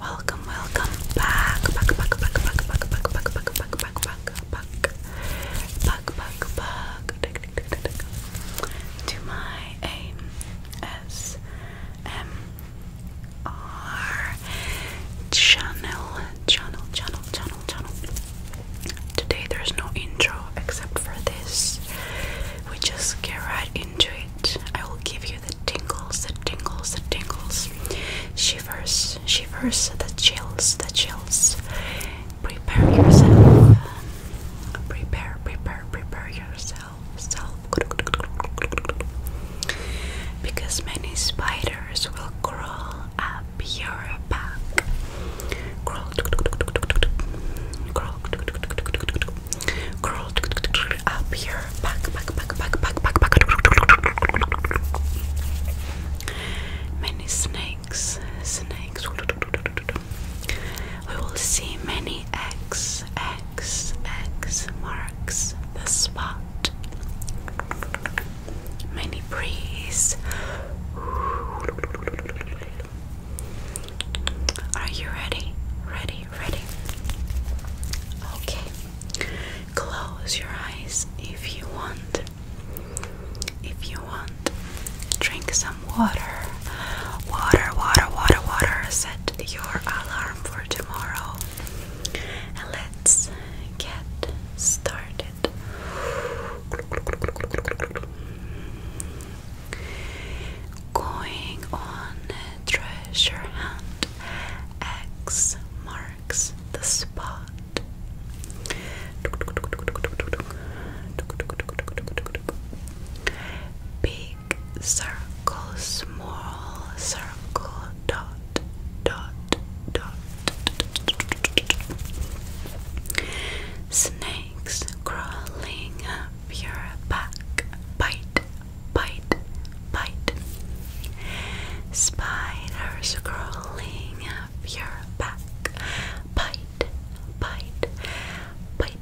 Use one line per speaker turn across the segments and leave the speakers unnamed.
Welcome, welcome back, back, back, back, back, back, back, back, back, back, back, back, back, back, back, back, back, to my ASMR channel, channel, channel, channel, channel. Today there's no intro except for this. We just get right into I will give you the tingles, the tingles, the tingles. Shivers, shivers, the chills, the chills. Prepare yourself. Prepare, prepare, prepare yourself. Self. Because many spiders will crawl up your back. Crawl. Crawl curl up here, back, back, back, back, back, back, back. Many snakes, snakes. We will see many X, X, X marks the spot. Many breeze. Are you ready? Ready? ready, Okay, close your eyes if you want. If you want, drink some water. Water, water, water, water. Set your alarm for tomorrow. let's get started. Going on treasure hunt, X marks the spot. Big circle, small circle, dot, dot, dot. Snakes crawling your back, bite, bite, bite. Spiders crawling up your back, bite, bite, bite.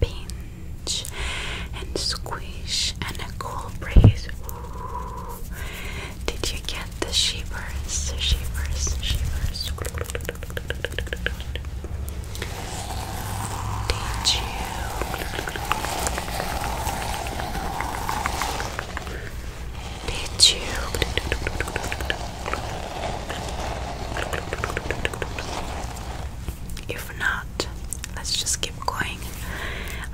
Pinch and squish and a cool breeze. Did you get the shivers? Shivers, shivers. Did you? Did you? If not, let's just keep going.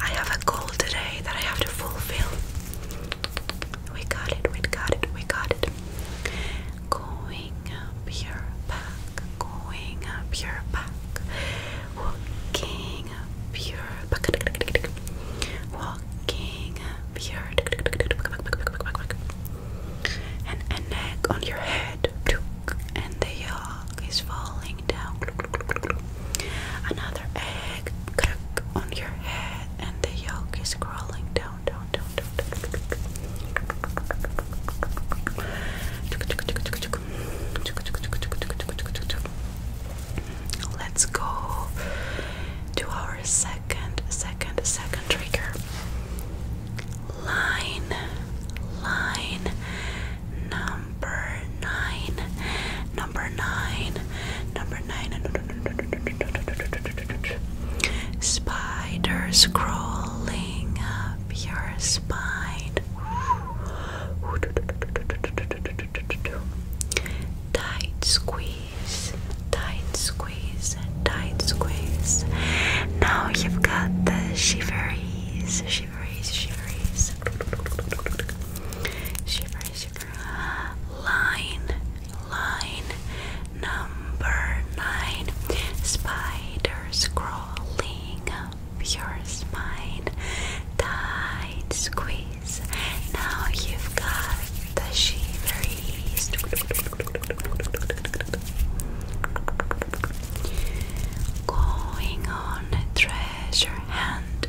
I have a goal today that I have to fulfill. We got it, we got it, we got it. Going up your back, going up your back, walking up your back, walking up your back, and an egg on your head, and the yolk is falling down. Another egg on your head it, and the yolk is crawling down, down, down, down. Let's go to our second, second, second trigger. Line, line number nine. No, number nine. Number nine. Spiders crawling up your spine. Tight squeeze, tight squeeze, tight squeeze. Now you've got the shiveries, shiveries, shiveries. Shiveries, shiveries, Line, line number nine. Spiders crawling up your spine. Tight squeeze. Now you've got the shiveries. Going on treasure hunt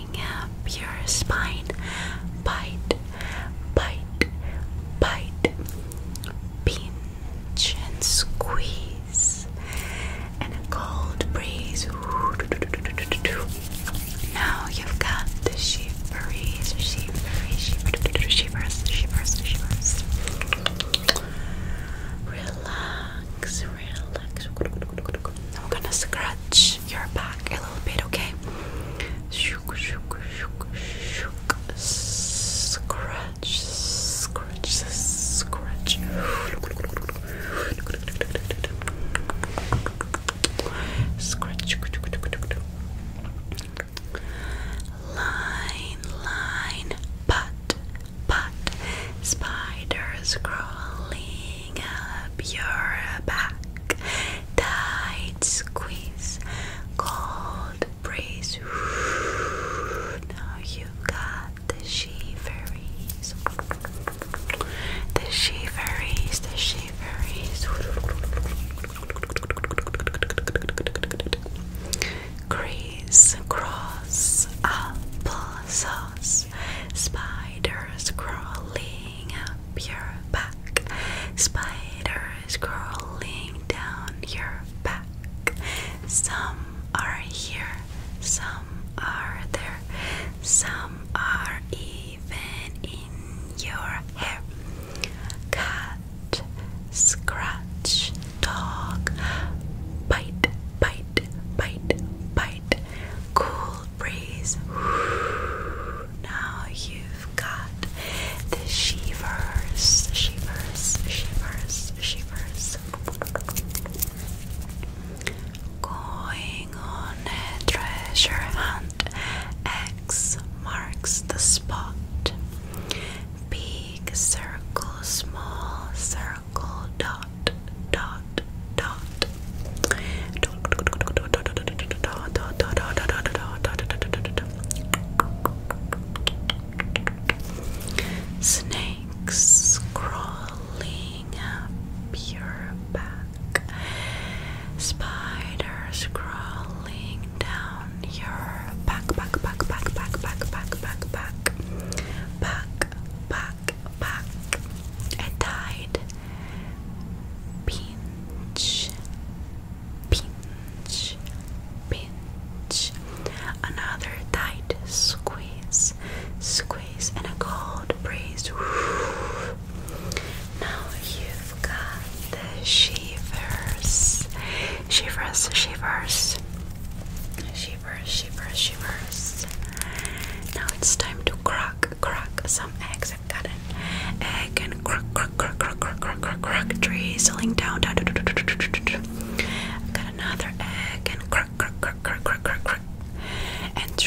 uh, your spine. Bite, bite, bite. Pinch and squeeze. And a cold breeze. Now you've got the shiveries, shivery, shivers, shivers, shivers. Relax relax, I'm gonna scratch your back a little bit, okay? Shook, shook, Scratch, scratch, scratch. Scratch. Line, line, but but spiders crawling up your back. Tight squeeze, cold breeze. Now you got the shiveries. The shiveries, the shiveries. Crease, cross, apple, so spiders crawling up your back, spiders crawling down your back. Some are here, some are there, some are even in your hair. Cut, scratch, dog. Bite, bite, bite, bite. Cool breeze. Now you've got the shivers, shivers, shivers, shivers. Going on a treasure hunt. X marks the spot. Big circle, small circle circle dot dot dot Snakes crawling up your back, spiders crawling down your back, back, back, back, back, back, back, back, back, back, back, back. I died. Pinch, pinch, pinch. Another tight squeeze, squeeze, and a cold breeze. Now you've got the shivers, shivers, shivers. Shivers, shivers, shivers, shivers. Now it's time to crack, crack some eggs. I've got an egg and crack, crack, crack, crack, crack, crack, crack, crack, drizzling down, down. I've got another egg and crack, crack, crack, crack, crack, crack, crack, and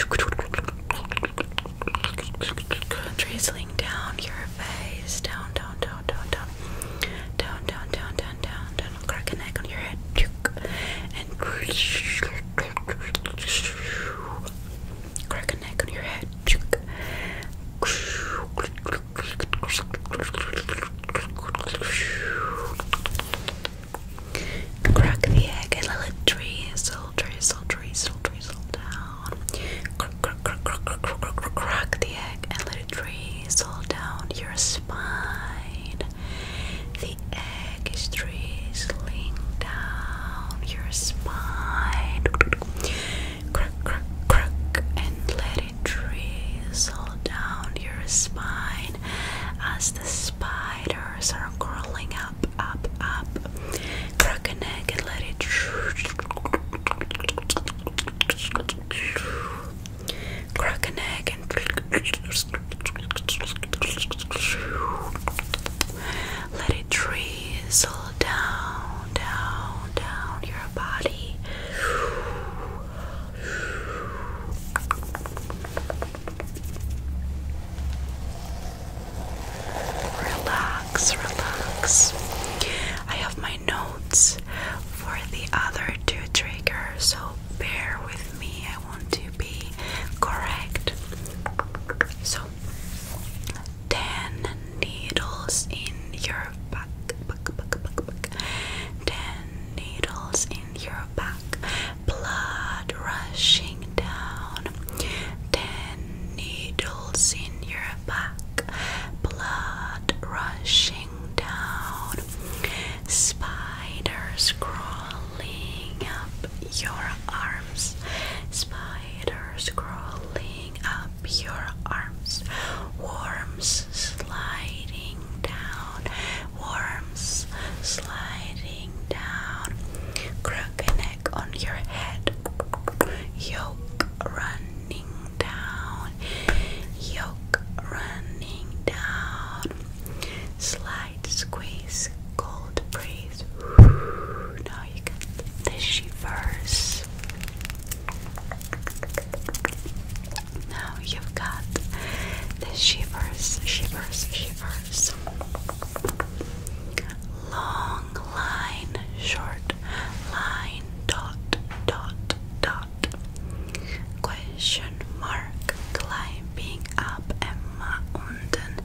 drizzling down your face, down, down, down, down, down, down, down, down, down, down, down, crack an egg on your head, and crack an egg on your head. Crack the egg and let it drizzle, drizzle, drizzle, drizzle down. crack the egg and let it drizzle diesel down your spine. The egg is drizzling down your spine. Crack, crack, crack, and let it drizzle down your spine as the spiders are crawling up, up, up. Crack an egg and let it crack an egg and let it drizzle down, down, down your body. Relax, relax. I have my notes for the other two triggers, so bear with me. I want to be correct. So, 10 needles in your back. back, back, back, back. 10 needles in your back. Blood rushing down. 10 needles in your back. Blood rushing down, spiders crawling up your arms, spiders crawling up your arms, worms sliding down, worms sliding down, crooked neck on your head, yolk running down down, yoke running down, slide, squeeze, cold breeze. Now you get the shivers. Now you've got the shivers, shivers, shivers. Long line, short line, dot, dot, dot. Question mark climbing up a mountain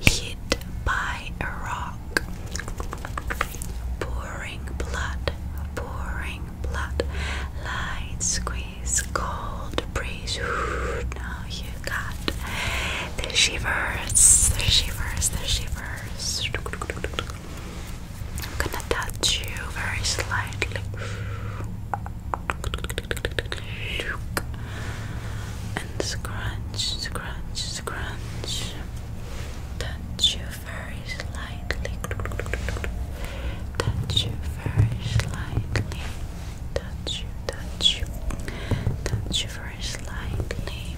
hit by a rock. Pouring blood, pouring blood, light squeeze, cold breeze. Ooh, now you got the shivers, the shivers, the shivers. I'm gonna touch you very slightly. And scrunch, scrunch, scrunch. Touch you very slightly. Touch you very slightly. Touch you, touch you. Touch you very slightly.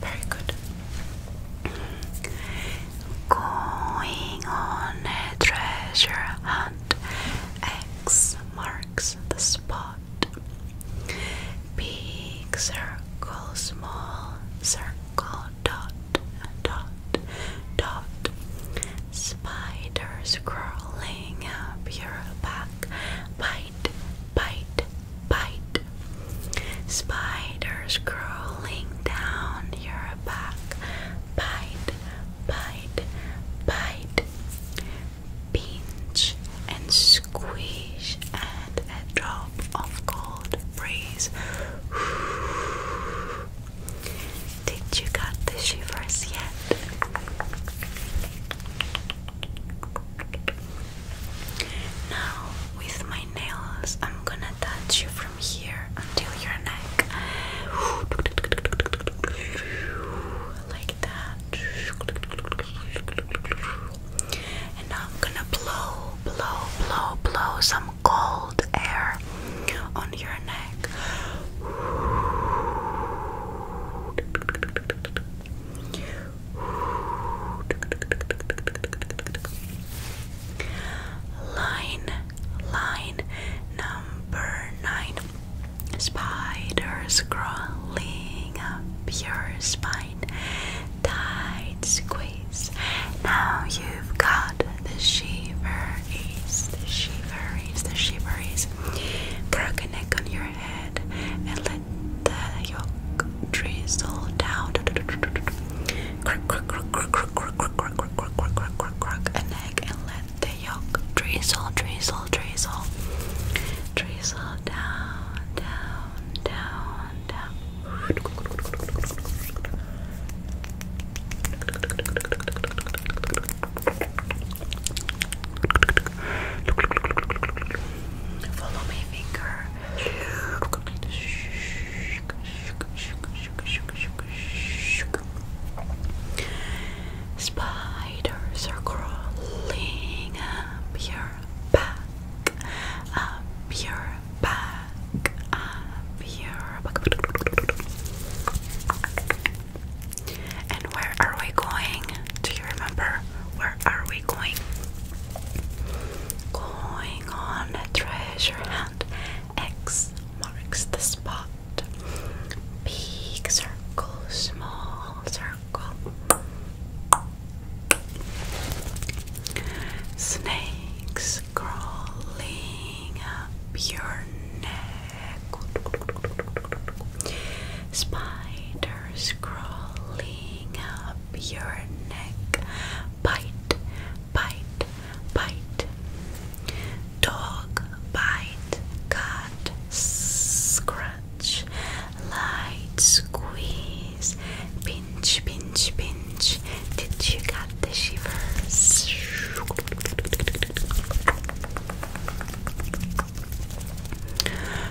Very good. Going on a treasure hunt. X marks the spot. Big circle, small circle, dot, dot, dot. Spiders crawling up your back. Bite, bite, bite. Spiders crawling down your back. Bite, bite, bite. Pinch and squeeze, and a drop of cold breeze. Did you got the shivers yet? Now, with my nails, I'm gonna touch you from here until your neck. Like that. And I'm gonna blow, blow, blow, blow some cold air on your neck. Line, line number nine. Spiders crawling up your spine. Tight squeeze. Now you've got the shiver, the shiver, the shiver, ease. Broken neck on your head and let the yolk drizzle down. drizzle, drizzle, drizzle, drizzle down, down, down, down. Spiders are crawling up your back, up your back, up your back where are we going? Do you remember? Where are we going? Going on a treasure hunt. X marks the spot. Big circle, small circle. Snakes crawling up your neck. Spider hairs crawling up your neck. Bite, bite, bite. Dog, bite, cut, scratch, light, squeeze, pinch, pinch, pinch. Did you got the shivers?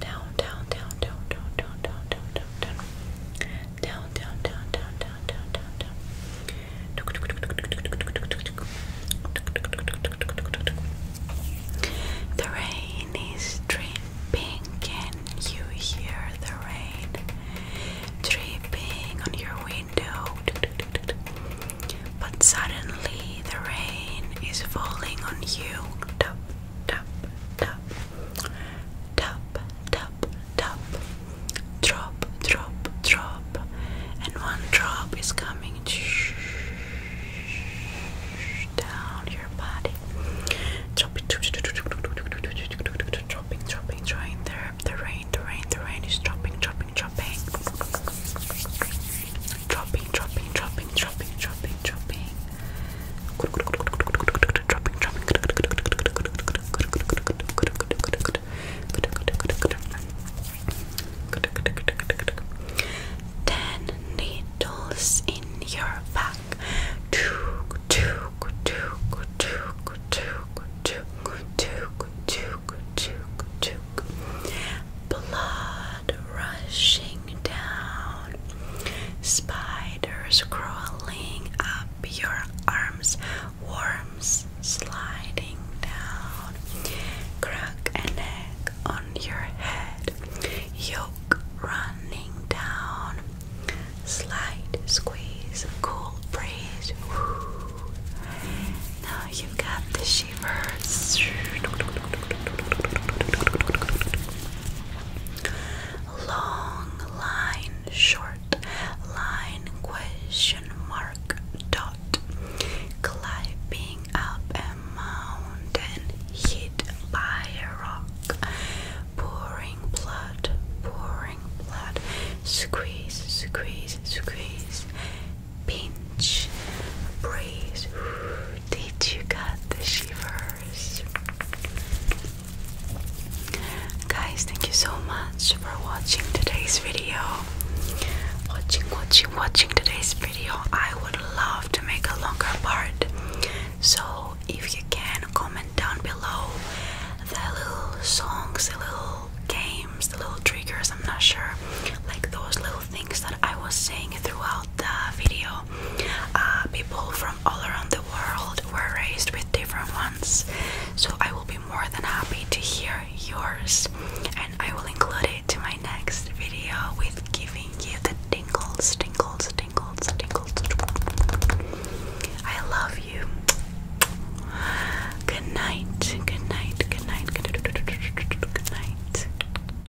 down, down, down, down, down, down, down, down, down, down, down, down, down, down, down, down, down, The rain is dripping. and you hear the rain dripping on your window? But suddenly the rain is falling on you. Tap, tap, tap, Tap, tap, tap. Drop, drop, drop. And one drop is coming down your body. Drop Dropping, dropping, dropping. The, the rain, the rain, the rain is dropping, dropping, dropping. Dropping, dropping, dropping, dropping, dropping dropping, dropping. Dropping, dropping. Ten needles in your back. Two, two, two, two, two, two, two, two, two, two. Blood rushing down, spiders crawling up your arms, worms sliding down, crack an egg on your head, yolk running down, slide, squeeze, cool breeze. Now you've got the shivers. Long line, short line, question mark, dot. Climbing up a mountain, hit by a rock. Pouring blood, pouring blood. Squeeze, squeeze, squeeze. Pinch, breeze. Did you get the shiver? Guys, thank you so much for watching today's video. Watching, watching, watching today's video. I would love to make a longer part. So, if you can, comment down below the little songs, the little games, the little triggers. I'm not sure, like those little things that I was saying throughout the video. Uh, people from all around the world were raised with different ones. So I will be more than happy to hear yours, and I will include it to my next video with giving you the tingles, tingles, tingles, tingles. I love you. Good night. Good night. Good night. Good night. Good night.